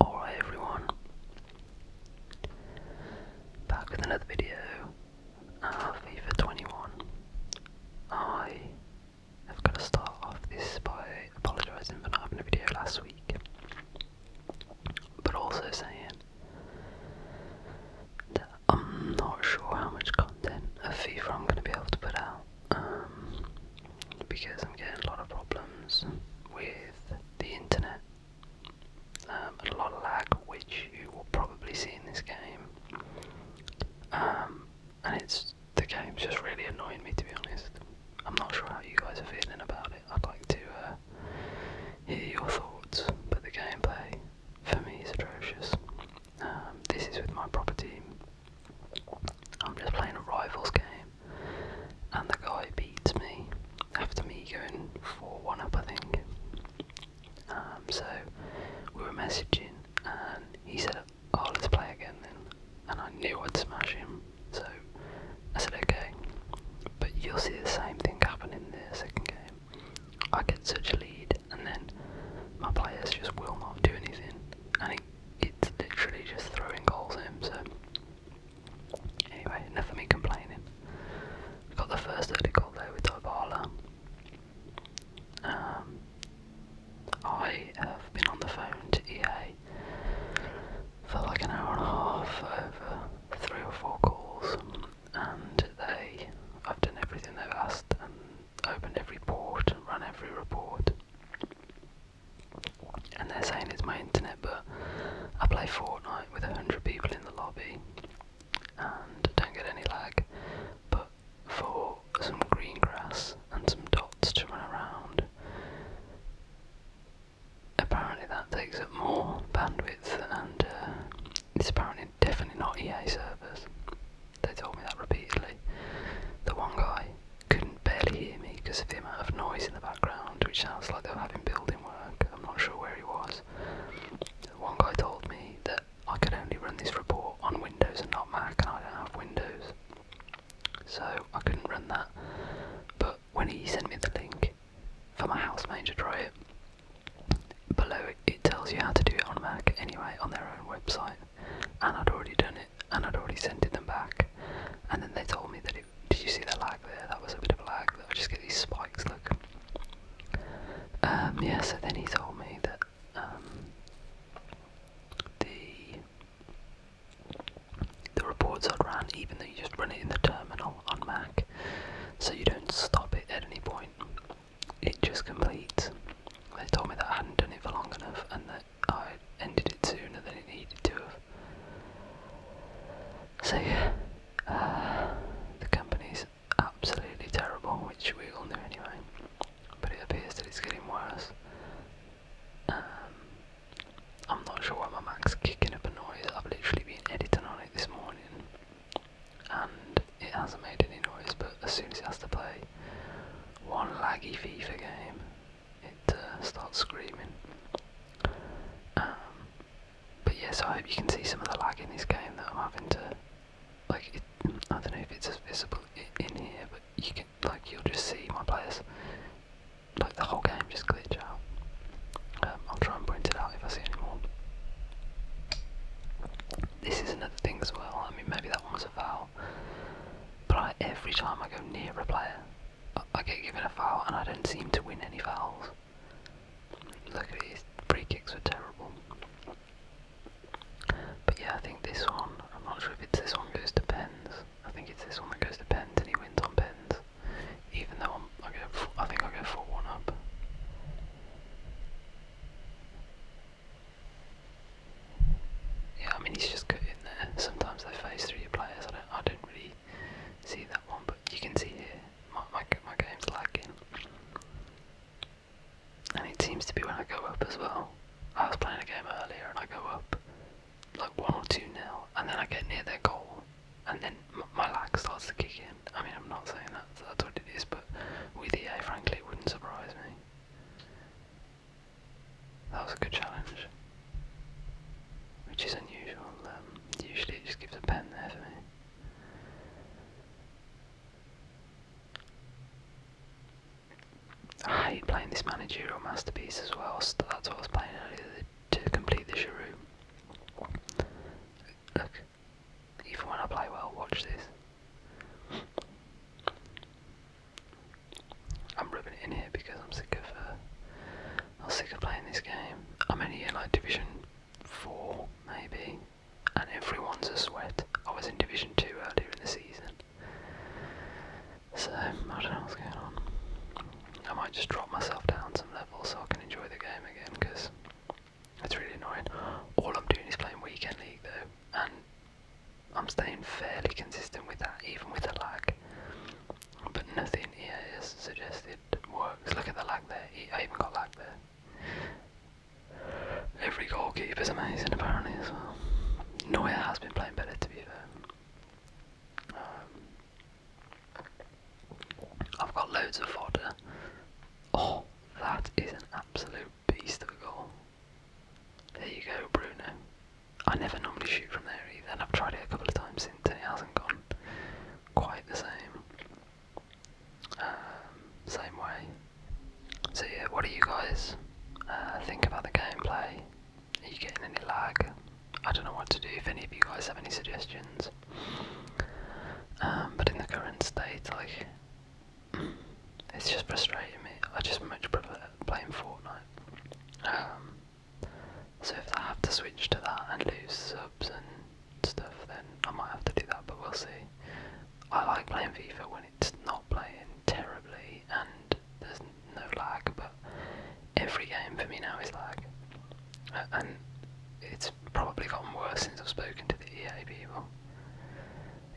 Alright everyone, back with another video of uh, FIFA 21. I have got to start off this by apologising for not having a video last week, but also saying that I'm not sure how much content of FIFA I'm going to be able to put out. Um, because I'm getting a lot of problems with the internet, um, a lot of lag, which you will probably see in this game, um, and it's the game's just really annoying me to be honest. I'm not sure how you guys are feeling about it. I'd like to uh, hear your thoughts, but the gameplay for me is atrocious. Um, this is with my property. I'm just playing a rivals game, and the guy beats me after me going 4 1 up, I think. Um, so we were messaging, and he said, Oh, let's play again then. And I knew I'd smash him, so I said, Okay. But you'll see the same thing happen in the second game. I get such a lead, and then my players just will not do anything, and it, it's literally just throwing goals at him. So Anyway, enough of complaining. got the first early goal there with Ivala. Um, I have been on the phone to EA for like an hour and a half over three or four calls, and they, I've done everything they've asked and opened every port and run every report and they're saying it's my internet, but I play Fortnite with 100 people in the lobby and don't get any lag, but for some green grass and some dots to run around, apparently that takes up more bandwidth and uh, it's apparently definitely not EA servers. They told me that repeatedly. The one guy couldn't barely hear me because of the amount of noise in the background, which sounds like they are having building work. I'm not sure where he was. One guy told me that I could only run this report on Windows and not Mac, and I don't have Windows. So I couldn't run that. But when he sent me the link for my housemate to try below it, it tells you how to do it on Mac anyway on their own website, and I'd already done it and I'd already sent them back. And then they told me that it. Did you see that lag there? That was a bit of a lag. I just get these spikes. Look. Um, yeah. So then he told me that um, the the reports are ran, even though you just run it in the terminal on Mac, so you don't stop it at any point. It just completes. They told me that I hadn't done it for long enough, and that. I ended it sooner than it needed to have. So yeah, uh, the company's absolutely terrible, which we all knew anyway. But it appears that it's getting worse. Um, I'm not sure why my Mac's kicking up a noise. I've literally been editing on it this morning, and it hasn't made any noise. But as soon as it has to play one laggy FIFA game, it uh, starts screaming. Um, but yes, I hope you can see some of the lag in this game that I'm having to. Like, it, I don't know if it's as visible in here, but you can, like, you'll just see my players, like, the whole game just glitch out. Um, I'll try and point it out if I see any more. This is another thing as well. I mean, maybe that one was a foul, but I, every time I go near a player, I get given a foul and I don't seem to win any fouls. Look at his free kicks were terrible. But yeah, I think this one, I'm not sure if it's this one goes to pens. I think it's this one that goes to pens and he wins on pens. Even though I'm, I, think I go for 1 up. Yeah, I mean he's just good there. Sometimes they face through players. I don't, I don't really see that one, but you can see here my, my, game's lagging. And it seems to be when I go up as well. I was playing a game earlier and I go up like 1 or 2 nil, and then I get near their goal, and then my lag starts to kick in. I mean, I'm not saying that, that's what it is, but with EA, frankly, it wouldn't surprise me. That was a good challenge which is unusual. Um, usually it just gives a pen there for me. I hate playing this managerial masterpiece as well. that's what I was playing earlier to complete the Shirou. Look, even when I play well, watch this. I'm rubbing it in here because I'm sick of uh, I'm sick of playing this game. I'm only in like Division Four, maybe, and everyone's a sweat. I was in Division Two earlier in the season, so I don't know what's going on. I might just drop myself down some levels so I can enjoy the game again because it's really annoying. All I'm doing is playing Weekend League though, and I'm staying fairly consistent with that, even with the lag but nothing here is suggested works. Look at the lag there. He even got lag there. Every goalkeeper is amazing apparently as well. Neuer has been playing better to be fair. Um, I've got loads of fodder. Oh, that is an absolute beast of a goal. There you go, Bruno. I never normally shoot from there either, and I've tried it a couple of times since, and it hasn't gone quite the same. Um, same way. So yeah, what do you guys uh, think about the gameplay? Are you getting any lag? I don't know what to do. If any of you guys have any suggestions, um, but in the current state, like it's just frustrating me. I just much prefer playing Fortnite. Um, so if I have to switch to that and lose subs and stuff, then I might have to do that, but we'll see. I like playing FIFA when it's not playing terribly and there's no lag, but every game for me now is lag. And it's probably gotten worse since I've spoken to the EA people.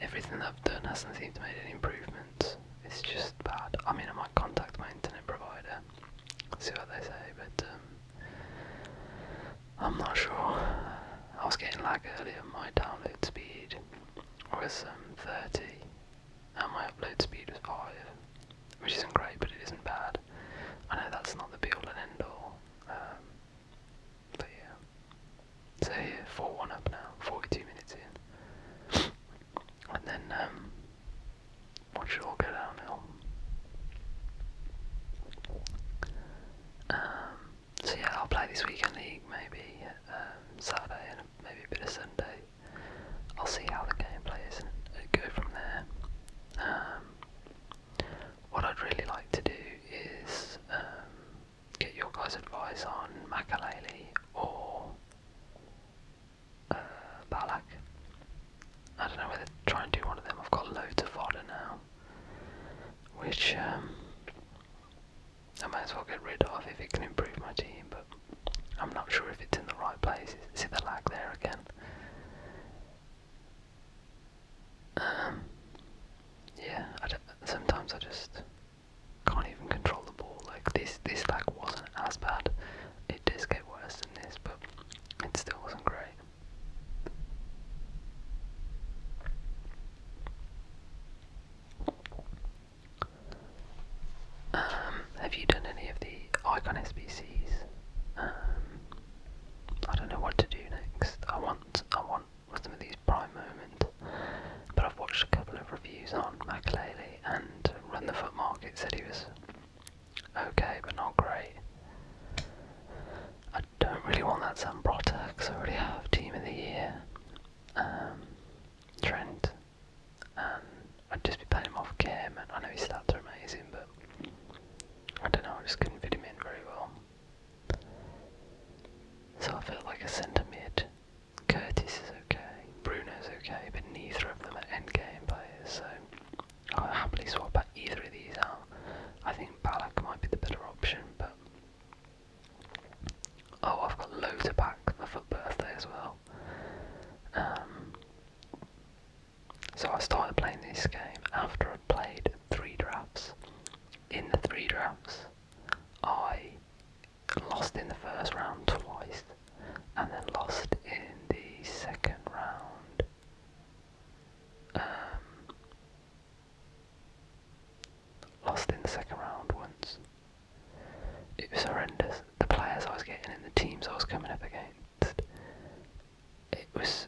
Everything that I've done hasn't seemed to make any improvements. It's just bad. I mean, I might contact my internet provider see what they say, but um, I'm not sure. I was getting lag earlier. My download speed was um, 30, and my upload speed was 5, which isn't great, but it isn't bad. I know that's not the be all and end all, um, but yeah. So here, 4 1 up now, 42 minutes in and then um, watch all go downhill. Um, so yeah, I'll play this weekend maybe um, Saturday and maybe a bit of Sunday. I'll see how the game plays and go from there. Um, what I'd really like to do is get your guys' advice on Makaleli or uh, Balak. I don't know try and do one of them. I've got loads of fodder now, which um, I might as well get rid of if it can improve my team, but I'm not sure if it's in the right place. See the lag there again? Um, yeah, sometimes I just can't even control the ball. Like this, this lag wasn't as bad. It does get worse but it still wasn't great. Um, have you done any of the Icon SBCs? Um, I don't know what to do next. I want, I want some of these prime moments, but I've watched a couple of reviews on Makalele and Run the Foot Market said he was okay, but not great. I don't really want that Zambrotta because I already have Team of the Year, um, Trent, and I'd just be playing him off game. And I know his stats are amazing, but I don't know, I just couldn't fit him in very well. So I felt like a centre mid. Curtis is okay, Bruno is okay, but neither of them are end game players, so I'll happily swap out either of these out. I think Balak might be the better option, but oh, I've got loads Loader back for birthday as well. Um, so I started playing this game after I played three drafts. In the three drafts, I lost in the first round twice, and then lost in the second round. Um, lost in the second round once. It was horrendous. The players I was getting and the teams I was coming up against. It was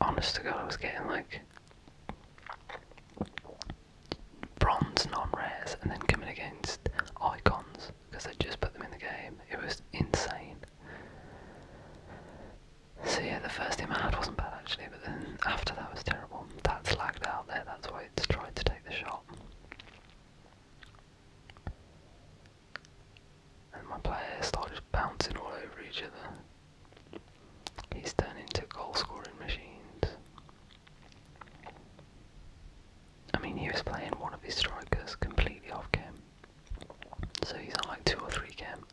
honest to God, I was getting like bronze non rares and then coming against icons because they just put them in the game. It was insane. So yeah, the first team I had wasn't bad actually, but then after that was terrible. That's lagged out there, that's why it's trying to take the shot. And my players started bouncing all over each other. He's turned into goal scoring machines. I mean, he was playing one of his strikers completely off game. So he's on like 2 or 3 game.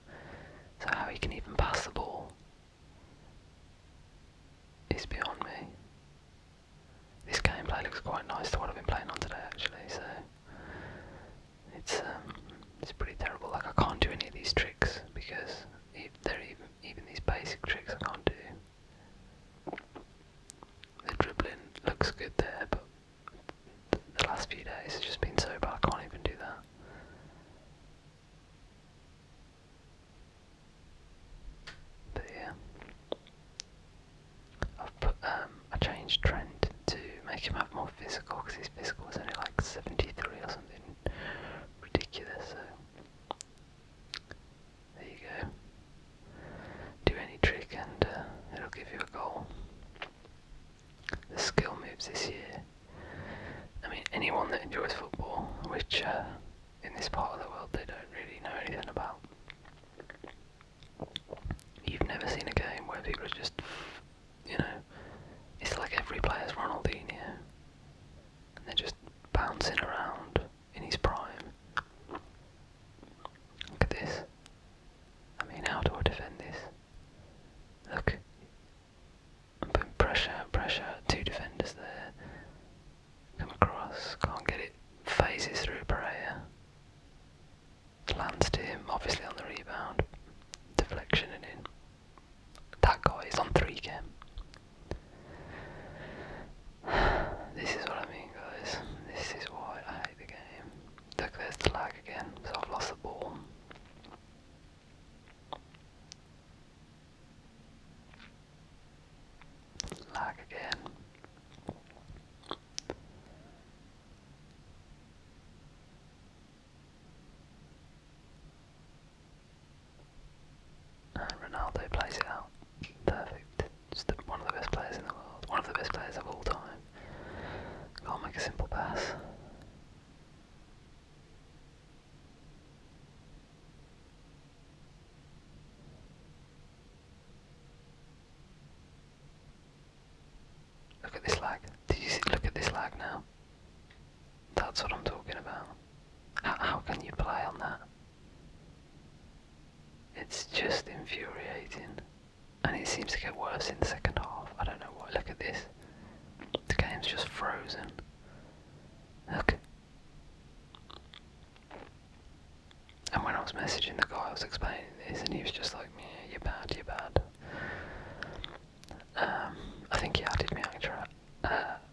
So how he can even pass the ball is beyond me. This gameplay looks quite nice to what I've been playing on today actually, so it's um, it's pretty terrible. Like I can't do any of these tricks because they're even even these basic tricks I can't do. The dribbling looks good there, but the last few days. It's just been so bad, I can't even do that. But yeah, I've put um I changed Trent to make him have more physical because his physical was only like seventy three or something ridiculous. So there you go do any trick and uh, it'll give you a goal. The skill moves this year. I mean, anyone that enjoys football, which uh, in this part of the world they don't really know anything about. You've never seen a game where people are just, you know, it's like every player is Ronaldinho, and they're just bouncing around in his prime. Look at this. I mean, how do I defend this? Look. I'm putting pressure, pressure, two defenders there. Come across, can't get it. Phases through Pereira. Lands to him, obviously on the rebound. Deflection and in. That guy is on 3 game. This is what I mean, guys. This is why I hate the game. Look, there's lag again, so I've lost the ball. Lag again. Ronaldo plays it out. Perfect just one of the best players in the world, one of the best players of all time. Can't make a simple pass. Look at this lag. Did you look at this lag now? That's what I'm talking about. How, how can you play on that? It's just infuriating and it seems to get worse in the second half. I don't know why. Look at this. The game's just frozen. Look. And when I was messaging the guy, I was explaining this, and he was just like, yeah, you're bad, you're bad. Um, I think he added me after.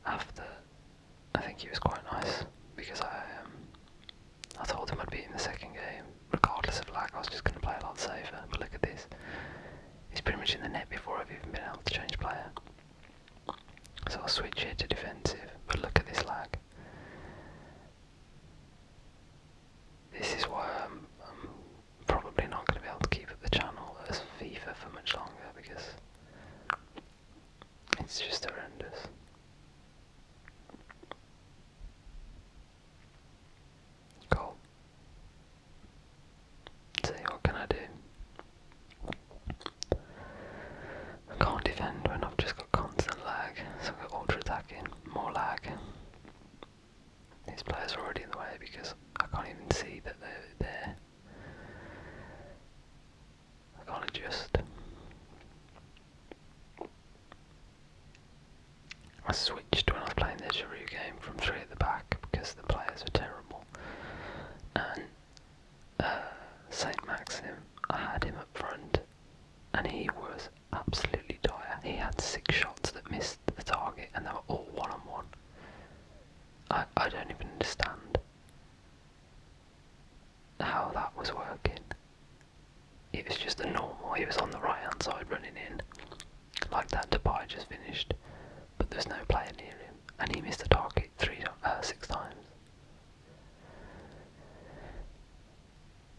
Uh, I think he was quite nice because I um, I told him I'd beat him the second game. Regardless of lag, I was just going to play a lot safer. But look at this. He's pretty much in the net before I've even been able to change player. So I'll switch here to defensive. But look at this lag. This is why I'm, probably not going to be able to keep up the channel as FIFA for much longer because it's just horrendous. Cool. See, what can I do? I can't defend when I've just got constant lag, so I've ultra attacking, more lag. These players are already in the way because I can't even see that they're there. I can't adjust. I switched when I was playing the Giroud game from three at the back because the players were terrible. And uh, Saint Maxim, I had him up front, and he was absolutely dire. He had six shots that missed the target, and they were all one on one. I I don't even understand how that was working. He was just a normal, he was on the right hand side running in, like that Dubai just finished, but there's no player near him, and he missed the target three, uh, six times.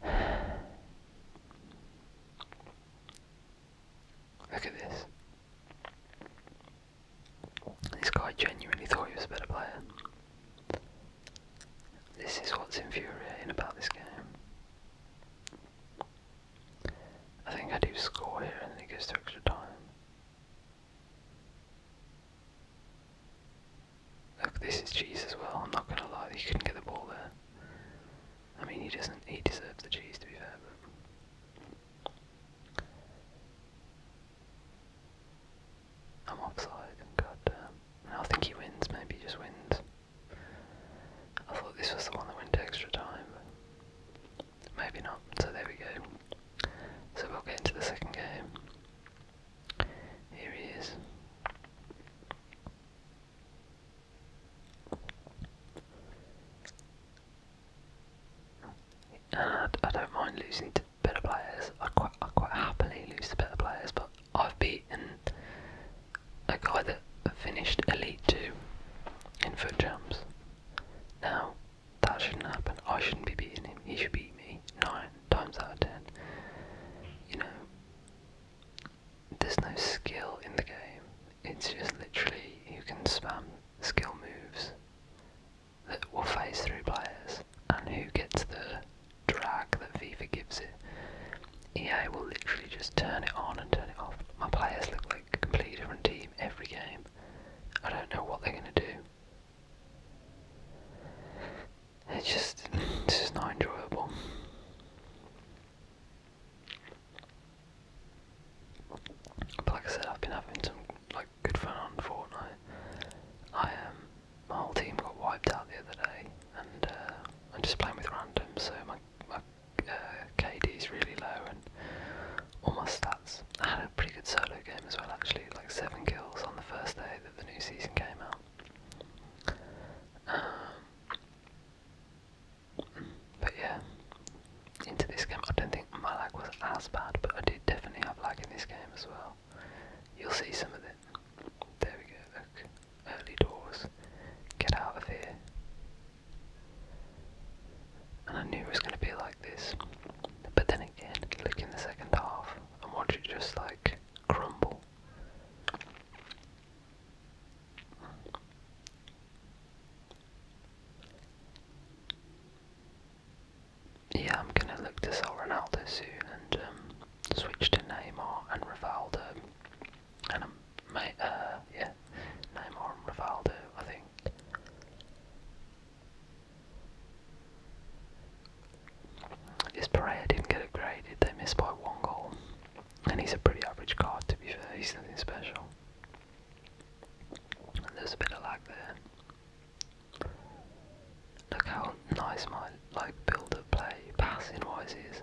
Look at this. This guy genuinely thought he was a better player. This is what's infuriating about this game. I think I do score here and then it goes extra time. Look, this is cheese as well, I'm not gonna lie, he couldn't get the ball there. I mean he doesn't he deserves the cheese to be fair, but I'm offside, god damn. I think he wins, maybe he just wins. I thought this was the one that went extra time. Maybe not, so there we go. So we'll get into the second game. Here he is. And I don't mind losing to better players. I quite, I quite happily lose to better players, but I've beaten a guy that finished Elite 2 in foot jumps. Now, that shouldn't happen. I shouldn't be beating him. He should beat me nine times out of ten. You know, there's no skill in the game. It's just literally you can spam skill moves that will phase through players, and who gets the drag that FIFA gives it. EA will literally just turn it on and turn it off. My players look like a completely different team every game. I don't know what they're going to do. It's just, it's just not enjoyable. But like I said, I've been having some like good fun on Fortnite. I um, my whole team got wiped out the other day, and uh, I'm just playing with random, so my, my uh, KD is really low and all my stats. I had a pretty good solo game as well, actually, like seven kills on the first day that the new season came out. Um, but yeah, into this game, I don't think my lag was as bad, but I did definitely have lag in this game as well. You'll see some of it. There we go, look early doors. Get out of here. And I knew it was going to be like this. But then again, look in the second half and watch it just like crumble. Yeah, I'm going to look to sell Ronaldo soon and um, switch to Neymar and Rivaldo and I'm my uh, yeah, Neymar and Rivaldo, I think. This Pereira didn't get upgraded, they missed by one goal. And he's a pretty average card to be fair, he's nothing special. there's a bit of lag there. Look how nice my like build up play passing wise is.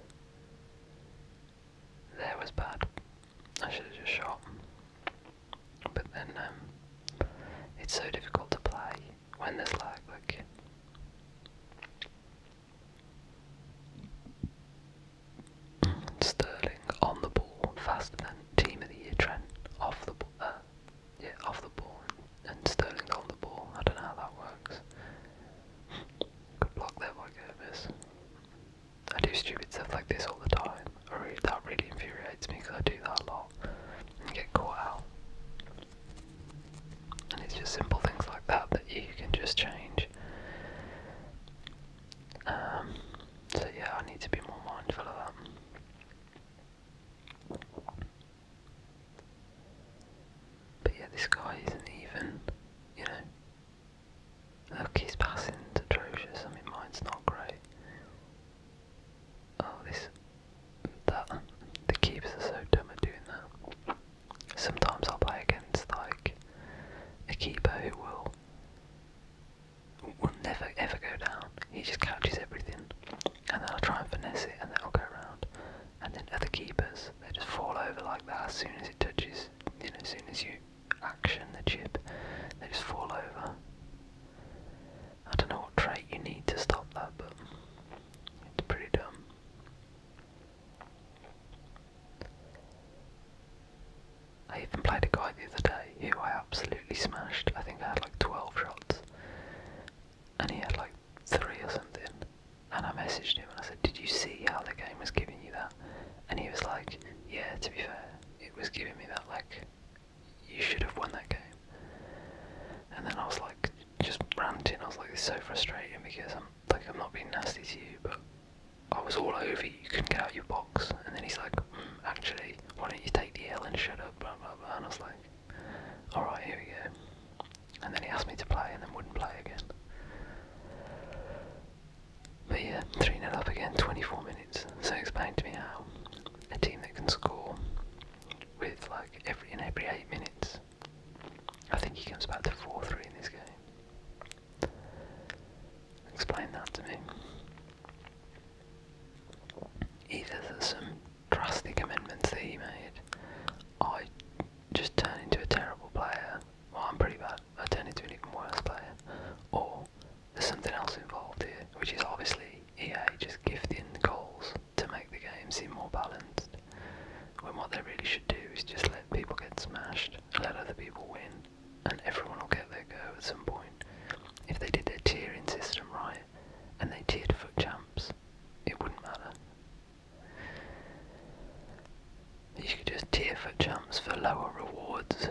There was bad. I should have just shot. But then, um, it's so difficult to play when there's lag. Like, Sterling on the ball, faster than team of the year. trend off the ball, uh, yeah, off the ball, and Sterling's on the ball. I don't know how that works. Good block there by I do stupid stuff like this all the time. really, that really infuriates me because I do that a lot and get caught out. And it's just simple things like that that you can just change. Um, so yeah, I need to be more mindful of that. But yeah, this guy isn't even, you know, Okay, Loki's passing's atrocious. I mean, mine's not great. Oh, this, that, the keepers are so dumb at doing that. Sometimes I'll play against like a keeper who will will never ever go down. He just catches everything, and then I'll try and finesse it, and then I'll go around. And then other keepers, they just fall over like that as soon as it touches because then as soon as you action the chip, they just fall over. I don't know what trait you need to stop that, but it's pretty dumb. I even played a guy the other day who I absolutely smashed. I think I had like 12 shots, and he had like 3 or something. And I messaged him and I said, Did you see how the game was giving you that? And he was like, Yeah, to be fair, it was giving me that, like, you should have won that game. And then I was like, just ranting, I was like, It's so frustrating because I'm like, I'm not being nasty to you, but I was all over you, you couldn't get out of your box. And then he's like, hmm, Actually, why don't you take the L and shut up, And I was like, Alright, here we go. And then he asked me to play and then wouldn't play again. But yeah, 3 0 up again, 24 minutes. So explain to me how a team that can score with like every in every 8 minutes, I think he comes back to 4 3 in this game. Explain that to me. Either there's some drastic amendments that he made, I just turn into a terrible player well I'm pretty bad, I turn into an even worse player, or there's something else involved here, which is obviously EA just gifting goals to make the game seem more balanced, when what they really should do is just let people get smashed, let other people win, and everyone will get their go at some point. If they did their tiering system right, and they tiered foot champs, it wouldn't matter. You could just tier for jumps for lower rewards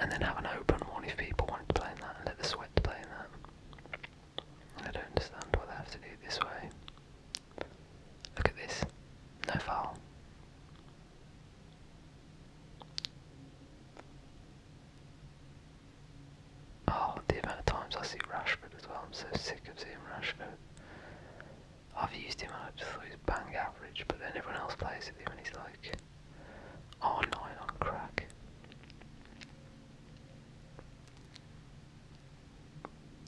and then have an open one if people wanted to play in that let the sweat play in that. I don't understand why they have to do it this way. Look at this. No foul. Oh, the amount of times I see Rashford as well. I'm so sick of seeing Rashford. I've used him and I just thought he was bang average, but then everyone else plays with him and he's like R9 on crack.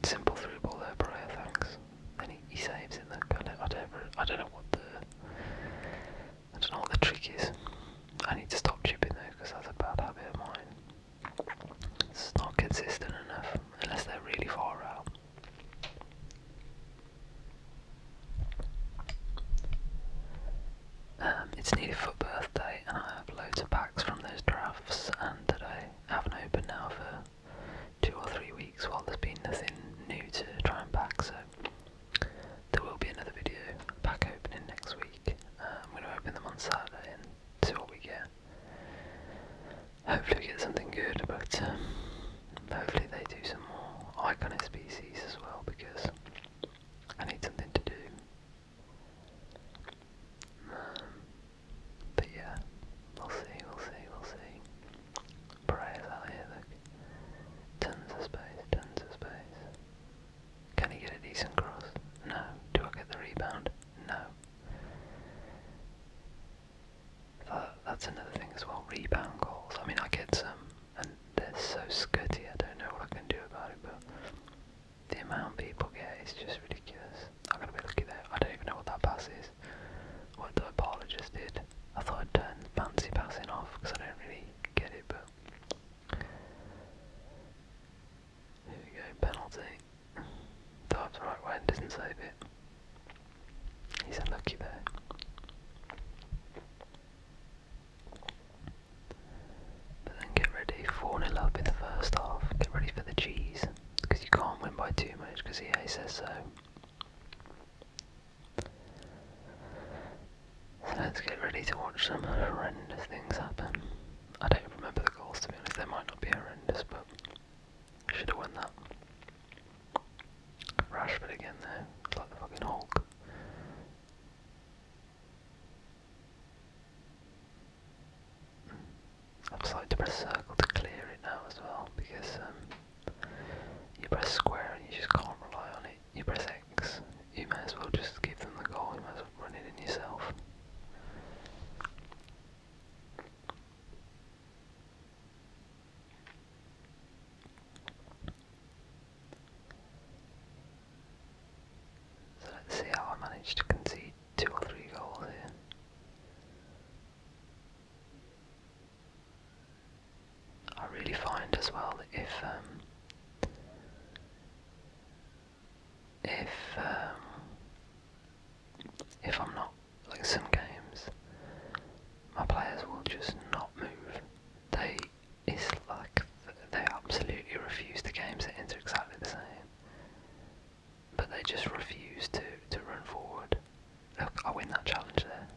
Simple through ball there, Brea, thanks. Then he, he saves in the gun. I don't, I don't know what the I don't know what the trick is. I need to stop chipping though because that's a bad habit of mine. It's not consistent enough unless they're really far out. Um, it's nearly for birthday, and I have loads of packs from those drafts, and that I haven't opened now for two or three weeks while there's been nothing new to try and pack, so there will be another video pack opening next week. Uh, I'm going to open them on Saturday and see what we get. Hopefully we get something good, but um, hopefully they do some more iconic species as well because I need something to do. but yeah, we'll see, we'll see, we'll see. Prayers out here, look. Tons of space, tons of space. Can he get a decent cross? No. Do I get the rebound? No that's another thing as well, rebound goals. I mean, I get some, and they're so scutty, I don't know what I can do about it, but the amount people get is just ridiculous. I'm going to be lucky there. I don't even know what that pass is. What the apologist did. I thought I'd turn fancy passing off because I don't really get it, but. Here we go, penalty. Thought the right one doesn't save it. He's unlucky there. But then get ready, 4 0 up in the first half. Get ready for the cheese. Because you can't win by too much, because he says So let's get ready to watch some horrendous things happen. I don't remember the goals to be honest, they might not be horrendous, but should have won that. Rashford again there, like the fucking Hulk. I've decided to press circle to clear it now as well because um, you press square and you just can't rely on it. You press X, you may as well just give them the goal, you might as well run it in yourself. So let's see how I manage to concede two or three goals here. I really find as well if um, if um, if I'm not like some games, my players will just not move. They it's like they absolutely refuse the games that enter exactly the same. But they just refuse to, to run forward. Look, I win that challenge there.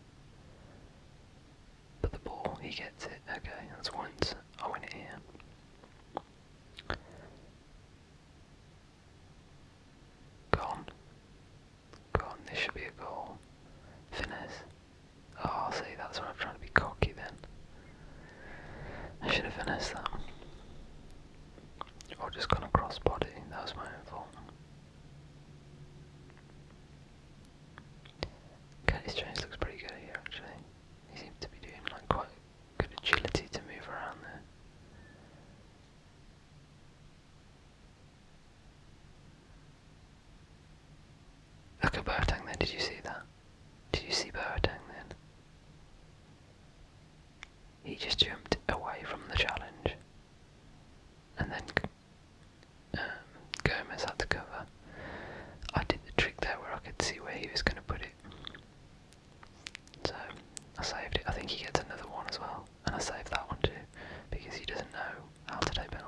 But the ball, he gets it. Okay, that's once. I win it here. Gone. Gone. This should be a goal. Finish. Oh, see, that's when I'm trying to be cocky then. I should have finessed that. Or just gone across body. That was my own fault. Kelly's change looks pretty good here actually. He seems to be doing like quite good agility to move around there. Look at Boateng then, did you see that? Did you see Boateng then? He just jumped away from the challenge. And then um, Gomez had to cover. I did the trick there where I could see where he was going to put it. So I saved it. I think he gets another one as well and I saved that one too because he doesn't know how to take penalties.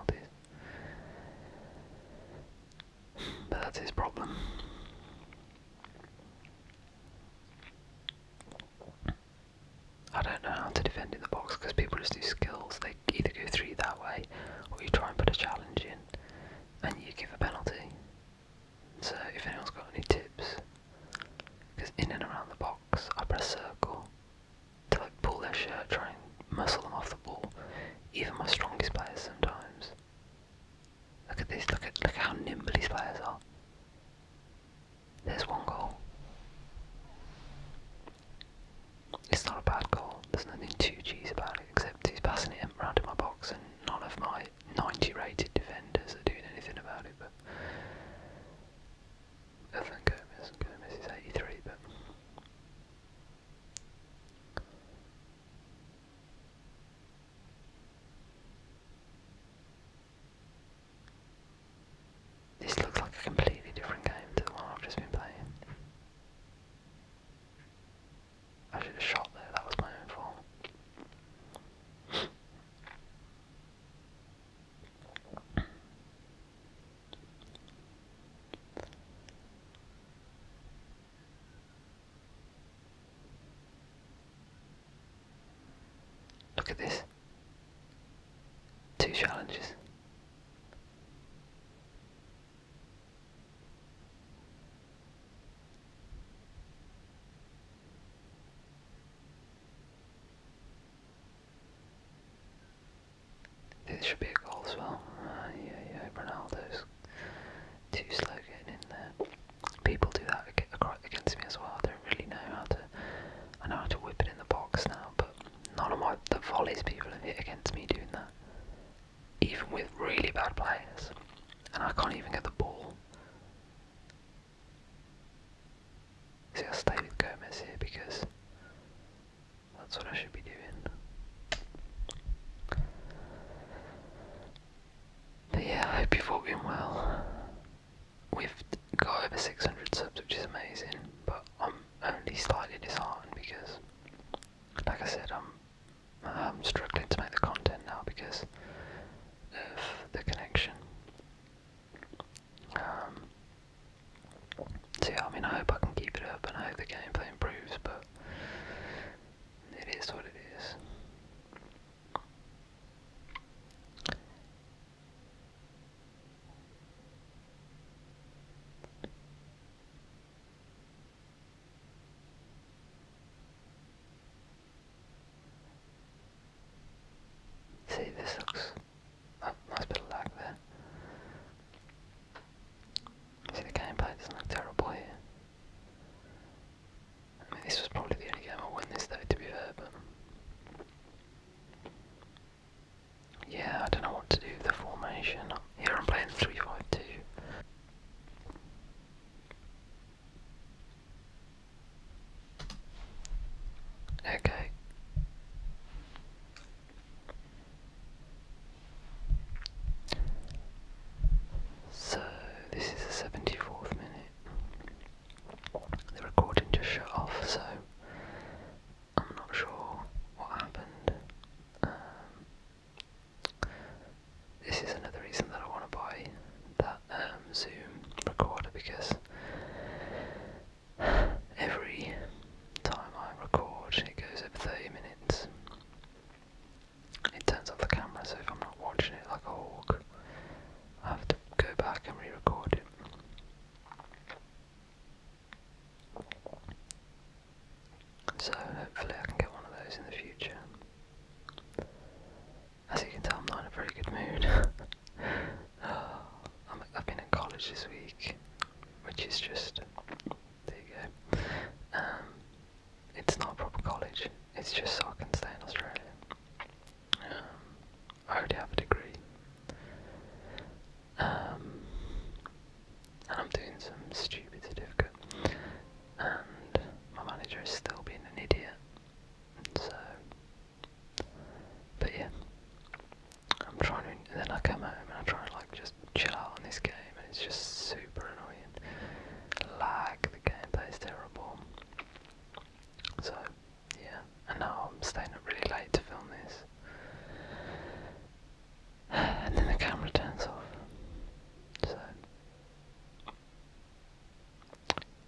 But that's his problem. I don't know how to defend in the box because people just do skills. They either go three that way or you try and put a challenge in and you give a penalty. So if anyone's got any tips, because in and around the box box, I press circle to like pull their shirt, try and muscle them off the ball. Even my strongest players sometimes. Look at this, look at look how nimble these players are. There's one goal. It's not a bad goal, there's nothing too cheesy about it, except he's passing it around in my box and none of my 90 rated defenders are doing anything about it, but other than Gomez. is 83, but. This looks like a completely different game to the one I've just been playing. I should have shot there, that was my own fault. Look at this. Two challenges. This should be a goal as well. Uh, yeah, yeah, Ronaldo's too slow getting in there. People do that against me as well. I don't really know how to. I know how to whip it in the box now, but none of my the volleys people have hit against me doing that. Even with really bad players, and I can't even get the ball. See, I'll stay with Gomez here because that's what I should be doing. But yeah, I hope you've all been well. We've got over 600 subs, which is amazing, but I'm only slightly disheartened because, like I said, I'm I'm struggling to make the content now because of the connection. Um, See, I mean I hope I can keep it up and I hope the gameplay improves, but it is what it is. See, this looks that nice bit of lag there. See the gameplay doesn't look terrible here. I mean this was probably the only game I'll this though to be fair, but yeah, I don't know what to do with the formation. Here I'm playing 352. Okay. So this is the seventy fourth minute. The recording just shut off, so I'm not sure what happened. Um, this is another reason that I want to buy that um, Zoom recorder because every time I record, it goes over 30 minutes. It turns off the camera, so if I'm not watching it like a hawk, I have to go back and re record it. So, hopefully, I can get one of those in the future. As you can tell, I'm not in a very good mood. i have been in college this week, which is just there you go. Um, it's not proper college. It's just so I can stay in Australia. Um, I already have a degree, um, and I'm doing some stupid certificate. And my manager is still being an idiot. So, but yeah, I'm trying to, and then I come home and I try to like just chill out on this game, and it's just super annoying. Like the gameplay is terrible. So, yeah, and now I'm staying up really late to film this. And then the camera turns off. So,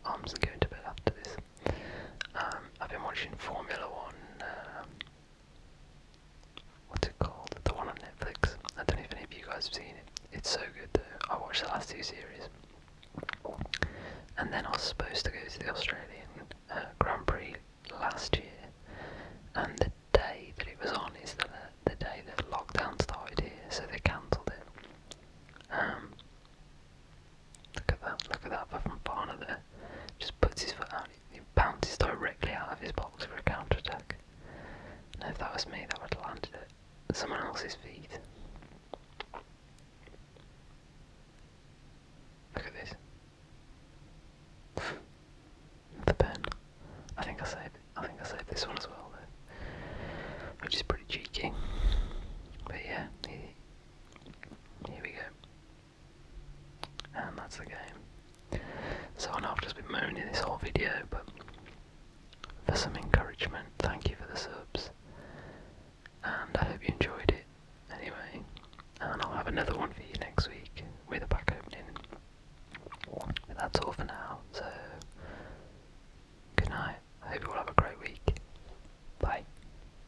I'm just going to bed after this. Um, I've been watching Formula One. Uh, what's it called? The one on Netflix. I don't know if any of you guys have seen it. It's so good though. I watched the last two series. And then I was supposed to go to the Australian uh, Grand Prix last year. And the day that it was on is the, day that lockdown started here, so they cancelled it. Um, Look at that, look at that from Barner there. Just puts his foot out, he bounces directly out of his box for a counter attack. if that was me, that would have landed it at someone else's feet. Look at this. the pen. I think I saved I think I saved this one as well though. Which is pretty cheeky. But yeah, here we go. And that's the game. So I know I've just been moaning this whole video, but for some encouragement, thank you for the subs. And I hope you enjoyed it anyway. And I'll have another one for you next week with a back opening. But that's all for now, so good night. I hope you all have a great week. Bye.